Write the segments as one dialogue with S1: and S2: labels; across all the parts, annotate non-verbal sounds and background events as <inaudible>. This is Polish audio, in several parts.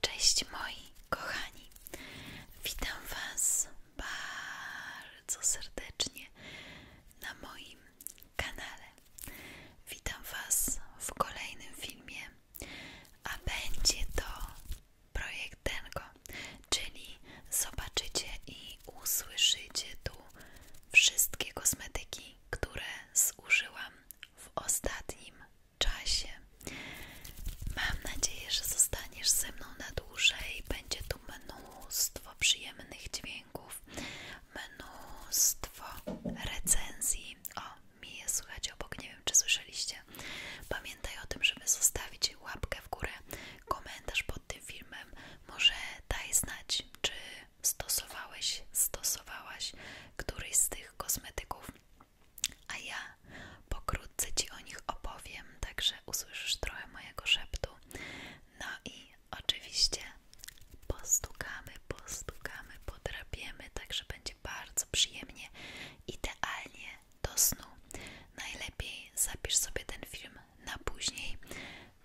S1: Cześć moi kochani, witam Was bardzo serdecznie na moim kanale. Witam Was w kolejnym filmie, a będzie to projekt Dengo, czyli zobaczycie i usłyszycie tu wszystkie kosmetyki, które zużyłam w ostatnim czasie. Mam nadzieję, że zostaniesz ze mną na dłużej. Będzie tu mnóstwo przyjemnych dźwięków, mnóstwo recenzji. O, mi je słychać obok, nie wiem czy słyszeliście. Pamiętaj o tym, żeby zostawić łapkę w górę, komentarz pod tym filmem. Może daj znać, czy stosowałeś, stosowałaś któryś z tych kosmetyków a ja pokrótce Ci o nich opowiem, także usłyszysz trochę mojego szeptu. No i oczywiście postukamy, postukamy, podrapiemy, także będzie bardzo przyjemnie, idealnie do snu. Najlepiej zapisz sobie ten film na później.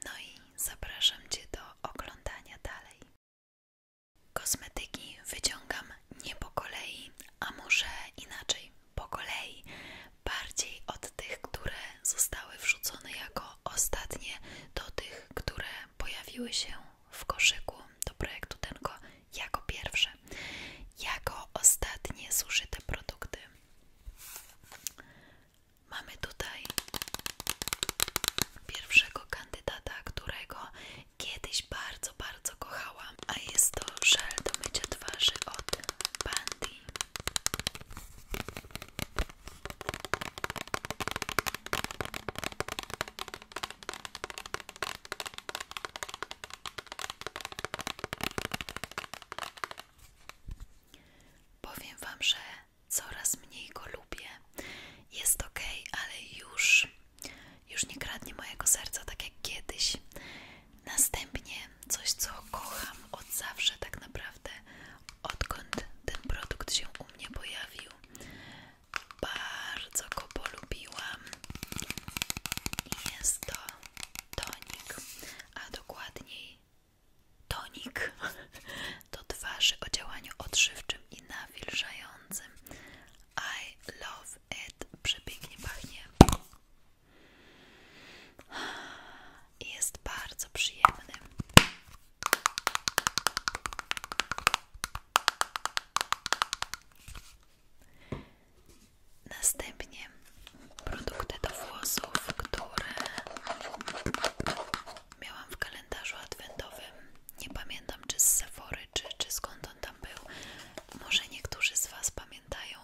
S1: No i zapraszam Cię do oglądania dalej. Kosmetyki wyciągam nie po kolei, a może inaczej, po kolei, bardziej od tych, które zostały wrzucone jako ostatnie, do tych, które pojawiły się w koszyku do projektu Tenko jako pierwsze, jako ostatnie zużyte produkty. Mamy tutaj pierwszego kandydata, którego kiedyś bardzo, bardzo kochałam, a jest to żel do mycia twarzy od Bandy. Powiem Wam, że coraz mniej go lubię. Jest ok, ale już już nie kradnie mojego serca tak jak kiedyś. Następnie coś, co kocham od zawsze, tak naprawdę, odkąd ten produkt się u mnie pojawił. Bardzo go polubiłam. Jest to tonik, a dokładniej tonik do <laughs> twarzy o działaniu odżywczym i na wilżającym. I love it, przepięknie pachnie i jest bardzo przyjemny Następnie produkty do włosów, które miałam w kalendarzu adwentowym nie pamiętam czy z Sephory, czy, czy skąd on tam był. Może niektórzy z Was pamiętają,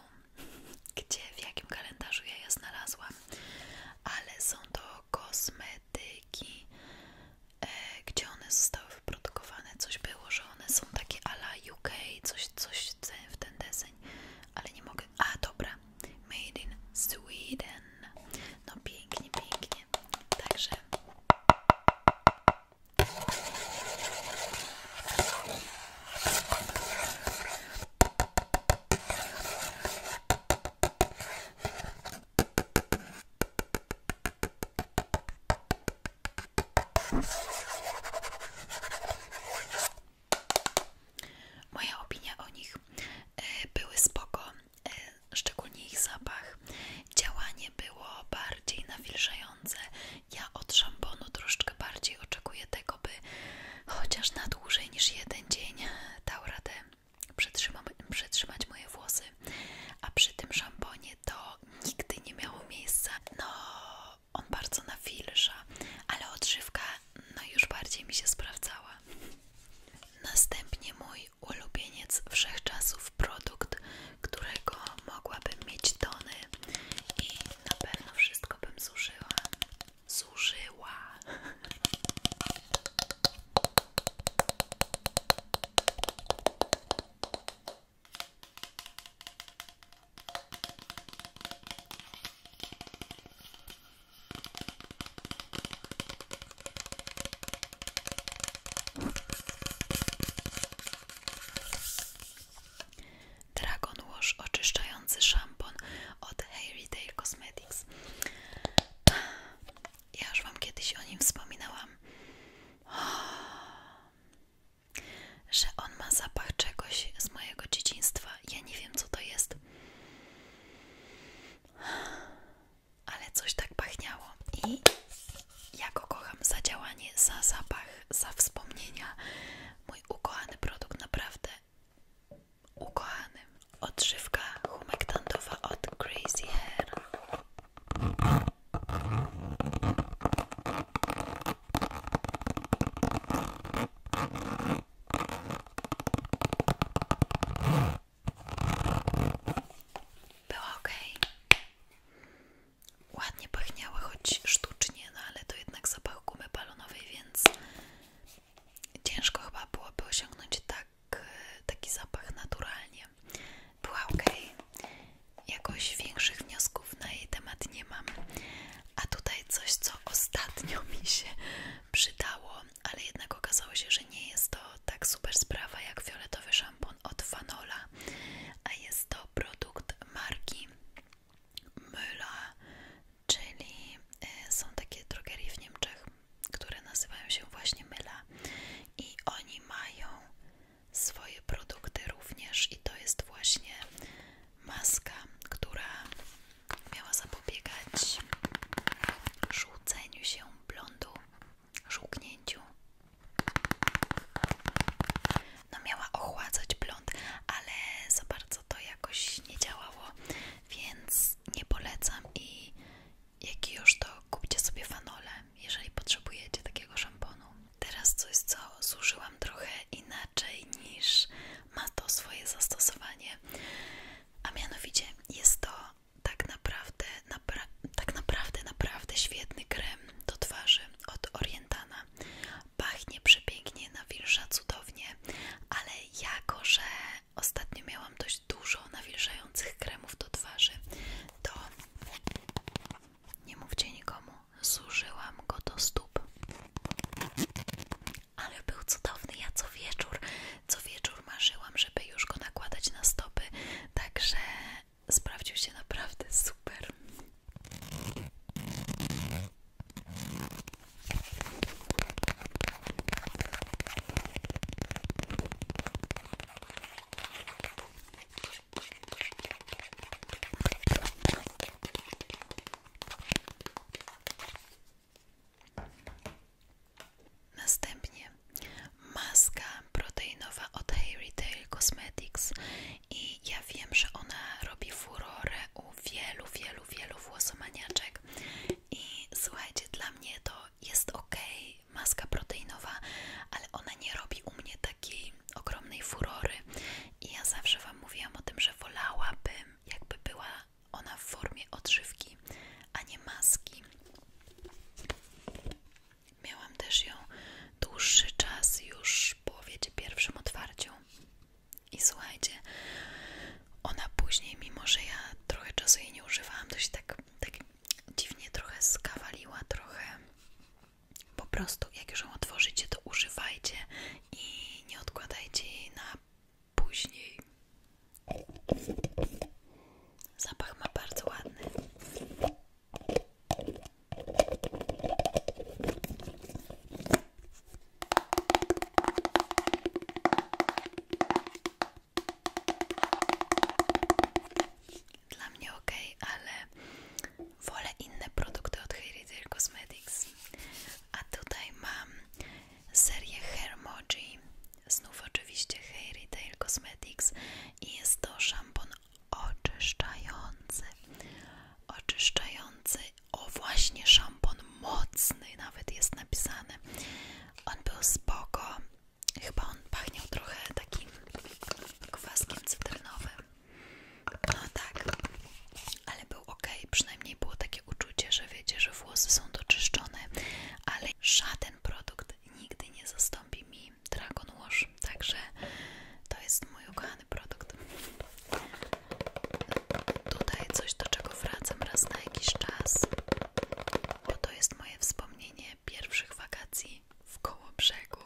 S1: <laughs> gdzie, w jakim kalendarzu ja je znalazłam, ale są to kosmetyki, e, gdzie one zostały wyprodukowane. Coś było, że one są takie ala UK, coś, coś w ten deseń, ale nie mogę. A dobra, Made in Sweden. No pięknie, pięknie. Także Moja opinia o nich e, były spoko, E, szczególnie ich zapach. Działanie było bardziej nawilżające. Ja od szamponu troszkę bardziej oczekuję tego, by chociaż na dłużej niż jeden dzień dał radę przetrzyma przetrzymać moje włosy. A przy tym szamponie to nigdy nie miało miejsca. No, on bardzo nawilża, ale odżywka no już bardziej mi się sprawdzała. Następnie mój ulubieniec wszechczasów, produkt, którego mogłabym mieć tony i na pewno wszystko bym zużyła. Zużyła. Dragon Wash oczyszczający szampon od Hair Dale Cosmetics. Ja już Wam kiedyś o nim wspominałam, że on ma zapach czegoś z mojego dzieciństwa. Ja nie wiem, co to jest ale coś tak pachniało i ja go kocham za działanie, za zapach, za wspomnienia. Mój ukochany produkt, naprawdę ukochany. Odżywka humektantowa od Crazy Hair. Było ok. Ładnie pachniały, choć sztucznie, no ale to jednak zapach gumy balonowej, więc ciężko chyba byłoby osiągnąć tak, taki zapach naturalnie. Była ok. Jakoś większych wniosków na jej temat nie mam. A tutaj coś, co ostatnio mi się przydało ale jednak okazało się, że nie jest to tak super sprawa jak fioletowy szampon od Fanola, a jest to produkt marki Müller, czyli e, są takie drogerie w Niemczech, które nazywają się właśnie Myla i oni mają swoje produkty również i to jest właśnie maska, która miała zapobiegać żółceniu się blondu, żółknięciu. No miała ochładzać blond, ale za bardzo to jakoś nie działało, więc nie polecam i jak już to kupcie sobie fanole, jeżeli potrzebujecie takiego szamponu. Teraz coś, co zużyłam trochę inaczej niż ma to swoje zastosowanie a mianowicie jest to tak naprawdę, tak naprawdę, naprawdę świetny krem do twarzy od Orientana. Pachnie przepięknie, nawilża cudownie, ale jako, że ostatnio miałam dość dużo nawilżających kremów do twarzy, to nie mówcie nikomu, zużyłam go do stóp. Ale był cudowny, ja co wieczór co wieczór marzyłam, żeby już go nakładać na stopy, także sprawdził się naprawdę super. Następnie maska proteinowa od Harry Tail Cosmetics i ja wiem, że ona robi furorę u wielu, wielu, wielu włosomaniaczek i słuchajcie, dla mnie to jest ok, maska proteinowa, ale ona nie robi u mnie takiej ogromnej furory i ja zawsze Wam mówiłam o tym, że wolałabym jakby była ona w formie odżywki, a nie maski. Miałam też ją dłuższy czas już po wiecie pierwszym otwarciu. I słuchajcie, ona później, mimo że ja trochę czasu jej nie używałam, to się tak, tak dziwnie trochę skawaliła, trochę po prostu jak już ją otworzycie, to używajcie i nie odkładajcie jej na później. Zapach ma bardzo ładny. Dla mnie ok, ale wolę inne produkty od Hair Cosmetics. A tutaj mam serię Hermoji, znów oczywiście Hair Tail Cosmetics i jest to szampon oczyszczający, oczyszczający, o właśnie szampon mocny nawet jest napisany, on był spoko, chyba on pachniał trochę takim kwaskiem cytrynowym, no tak, ale był ok, przynajmniej było takie uczucie, że wiecie, że włosy są doczyszczone, ale żaden produkt nigdy nie zastąpi mi Dragon Wash, także to jest mój ukochany produkt. Tutaj coś, do czego wracam raz na jakiś czas, bo to jest moje wspomnienie pierwszych wakacji w koło brzegu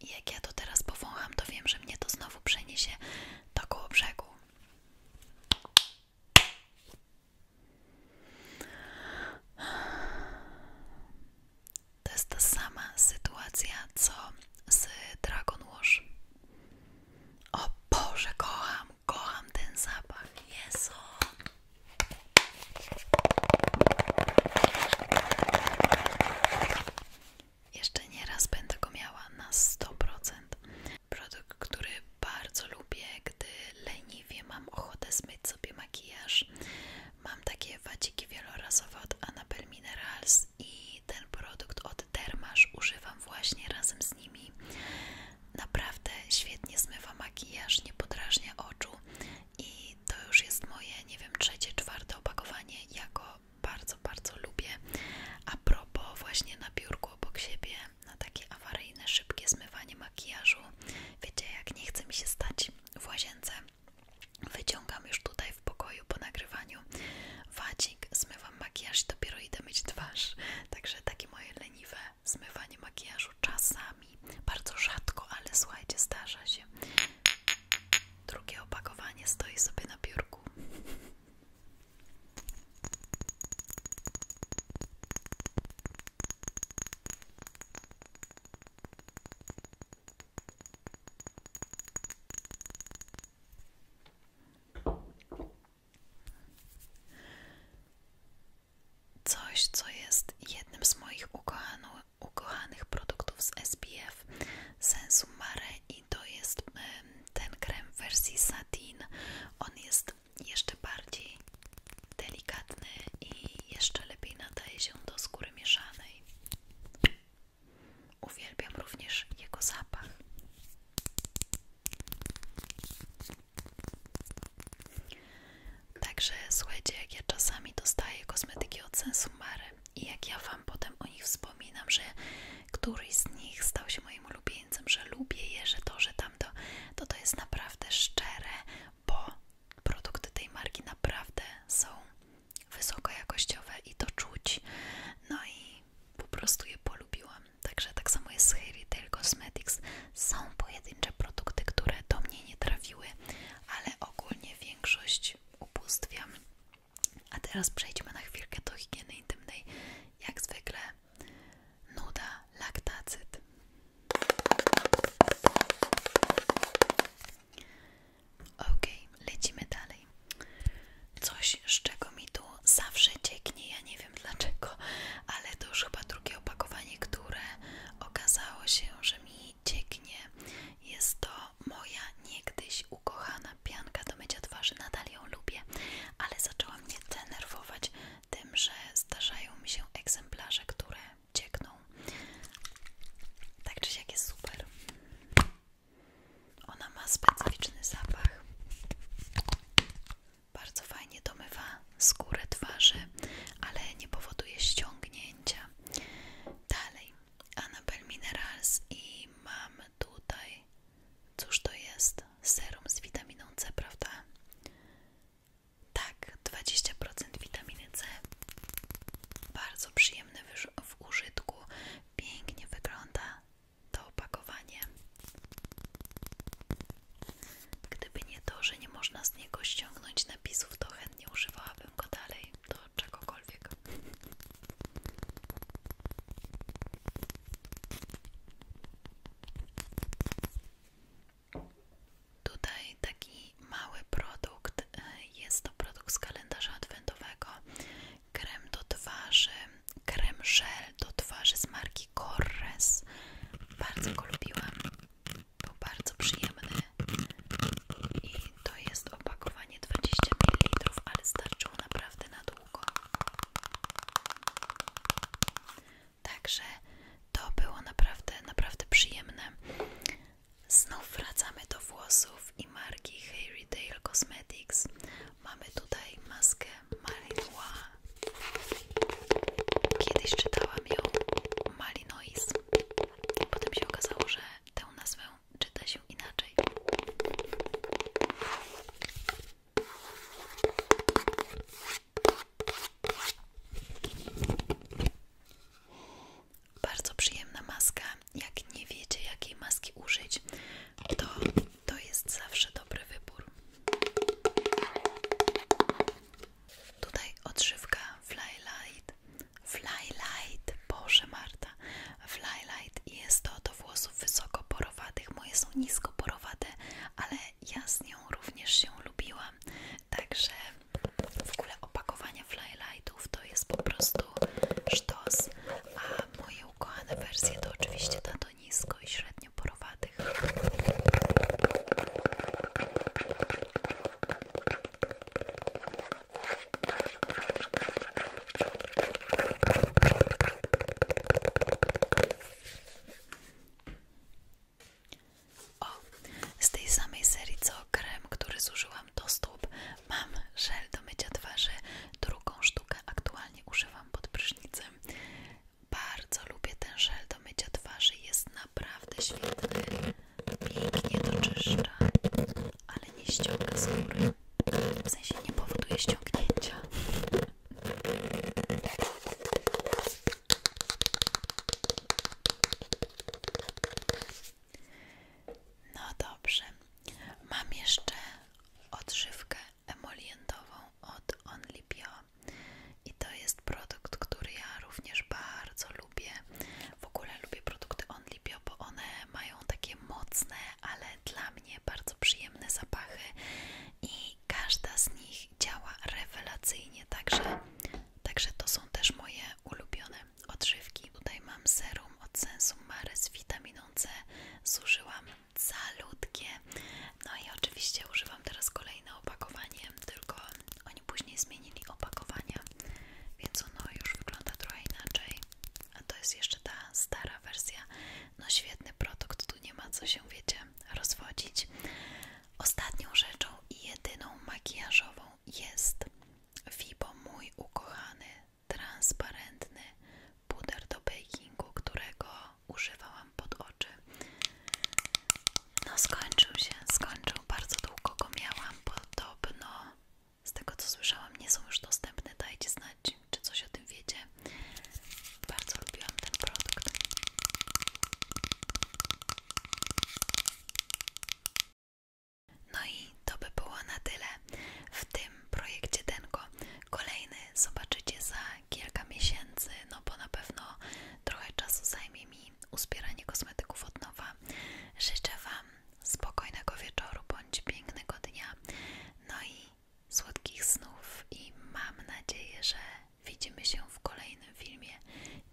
S1: jak ja to teraz powącham, to wiem, że mnie to znowu przeniesie do koło brzegu. To jest ta sama sytuacja, co z Dragon Wash. O Boże, kocham, kocham ten zapach. Jezu! Jeszcze nieraz będę go miała na 100%. Produkt, który bardzo lubię, gdy leniwie mam ochotę zmyć sobie makijaż. Mam takie wadziki wielorazowe od Annabelle Minerals i ten produkt od Dermasz używam właśnie razem z nimi. Naprawdę świetnie zmywa makijaż, nie podrażnia oczu i to już jest moje, nie wiem, trzecie, czwarte opakowanie. Ja go bardzo, bardzo lubię. A propos, właśnie na biurku obok siebie, na takie awaryjne, szybkie zmywanie makijażu. Wiecie, jak nie chce mi się stać w łazience, wyciągam już tutaj w pokoju po nagrywaniu wadzik, zmywam makijaż i dopiero idę myć twarz. Także takie moje leniwe zmywanie makijażu czasami, bardzo rzadko, ale słuchajcie, zdarza się. Drugie opakowanie stoi sobie na biurku. Coś, co jest jednym z moich ukochanych ukochanych produktów z SPF Sensu Mare i to jest ten krem wersji satin. On jest jeszcze bardziej delikatny i jeszcze lepiej nadaje się do skóry mieszanej. Uwielbiam również jego zapach. Także słuchajcie, jak ja czasami dostaję kosmetyki od Sensumary i jak ja Wam potem o nich wspominam, że któryś z nich stał się moim ulubieńcem, że lubię je, że to, że tamto, to to jest naprawdę szczere, bo produkty tej marki naprawdę są wysokojakościowe i to czuć. No i po prostu je polubiłam. Także tak samo jest z Hair Retail Cosmetics. Są pojedyncze produkty, które do mnie nie trafiły, ale ogólnie większość upustwiam. A teraz przejdźmy na chwilkę do higieny intymnej. Jak zwykle nuda, laktacyt. Ok, lecimy dalej. Coś, z czego mi tu zawsze cieknie, ja nie wiem dlaczego, ale to już chyba drugie opakowanie, które okazało się, że mi i cieknie. Jest to moja niegdyś ukochana pianka do mycia twarzy. Nadal ją lubię, ale zaczęła mnie denerwować tym, że zdarzają mi się egzemplarze, które ciekną. Tak czy siak jest super. Ona ma specyficzny zapach. Bardzo fajnie domywa skórę twarzy, ale nie powoduje ściągnięcia dalej Anabel Minerals i mam tutaj, cóż to jest? Serum z witaminą C, prawda? Tak, 20% witaminy C. Bardzo przyjemny w użytku. Pięknie wygląda to opakowanie. Gdyby nie to, że nie można z niego ściągnąć napisów, to chętnie używałabym go dalej do czegokolwiek. Tutaj taki mały produkt, jest to produkt z kalendarza adventowego krem do twarzy, krem żel do twarzy z marki Corres, bardzo go lubiłam, był bardzo przyjemny i to jest opakowanie 20 ml, ale starczyło naprawdę na długo. Także to było naprawdę, naprawdę przyjemne. Znów wracamy do włosów i marki Hair Dale Cosmetics. Mamy tutaj maskę malinowa Kiedyś czytałam ją Malinois. Wars. Potem się okazało, że tę nazwę czyta się inaczej. Bardzo przyjemna maska. Jak nie wiecie, jakiej maski użyć, to to jest zawsze dobry wybór. Tutaj odżywka Flylight. Flylight, Boże Marta. Flylight jest to do włosów wysoko porowatych Moje są nisko porowate ale ja z nią również się lubiłam. Także w ogóle opakowania Flylightów to jest po prostu sztos. A moje ukochane wersje to oczywiście ta do nisko i średnio porowate kudłatych. O, z tej samej serii co krem, który zużyłam do stóp, mam żel do mycia twarzy, drugą sztukę aktualnie używam pod prysznicem. Bardzo lubię ten żel do mycia twarzy, jest naprawdę świetny, pięknie doczyszcza, ale nie ściąga skóry, w sensie nie powoduje ściągnięcia. No dobrze, mam jeszcze odżywkę emolientową od Only Bio. I to jest produkt, który ja również bardzo lubię. W ogóle lubię produkty OnlyBio, bo one mają takie mocne, ale dla mnie bardzo przyjemne zapachy i każda z nich działa rewelacyjnie, także, także to są też moje ulubione odżywki. Tutaj mam serum od Sensumary z witaminą C, zużyłam calutkie, no i oczywiście używam Wam teraz kolejne opakowanie, tylko oni później zmienili opakowania, więc ono już wygląda trochę inaczej. A to jest jeszcze ta stara wersja. No świetny produkt, tu nie ma co się, wiecie, rozwodzić. Ostatnią rzeczą i jedyną makijażową jest Fibo, mój ukochany, transparentny puder do bakingu, którego używałam pod no skończył się, skończył. Bardzo długo go miałam. Podobno z tego co słyszałam nie są już dostępne. Dajcie znać, czy coś o tym wiecie. Bardzo lubiłam ten produkt. No i to by było na tyle w tym projekcie Denko. Kolejny zobaczycie za kilka miesięcy, no bo na pewno trochę czasu zajmie mi uspieranie kosmetyków od nowa. Życzę Wam spokojnego wieczoru bądź pięknego dnia, no i słodkich snów i mam nadzieję, że widzimy się w kolejnym filmie.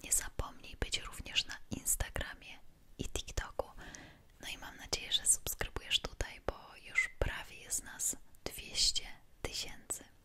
S1: Nie zapomnij być również na Instagramie i TikToku. No i mam nadzieję, że subskrybujesz tutaj, bo już prawie jest nas 200 tysięcy.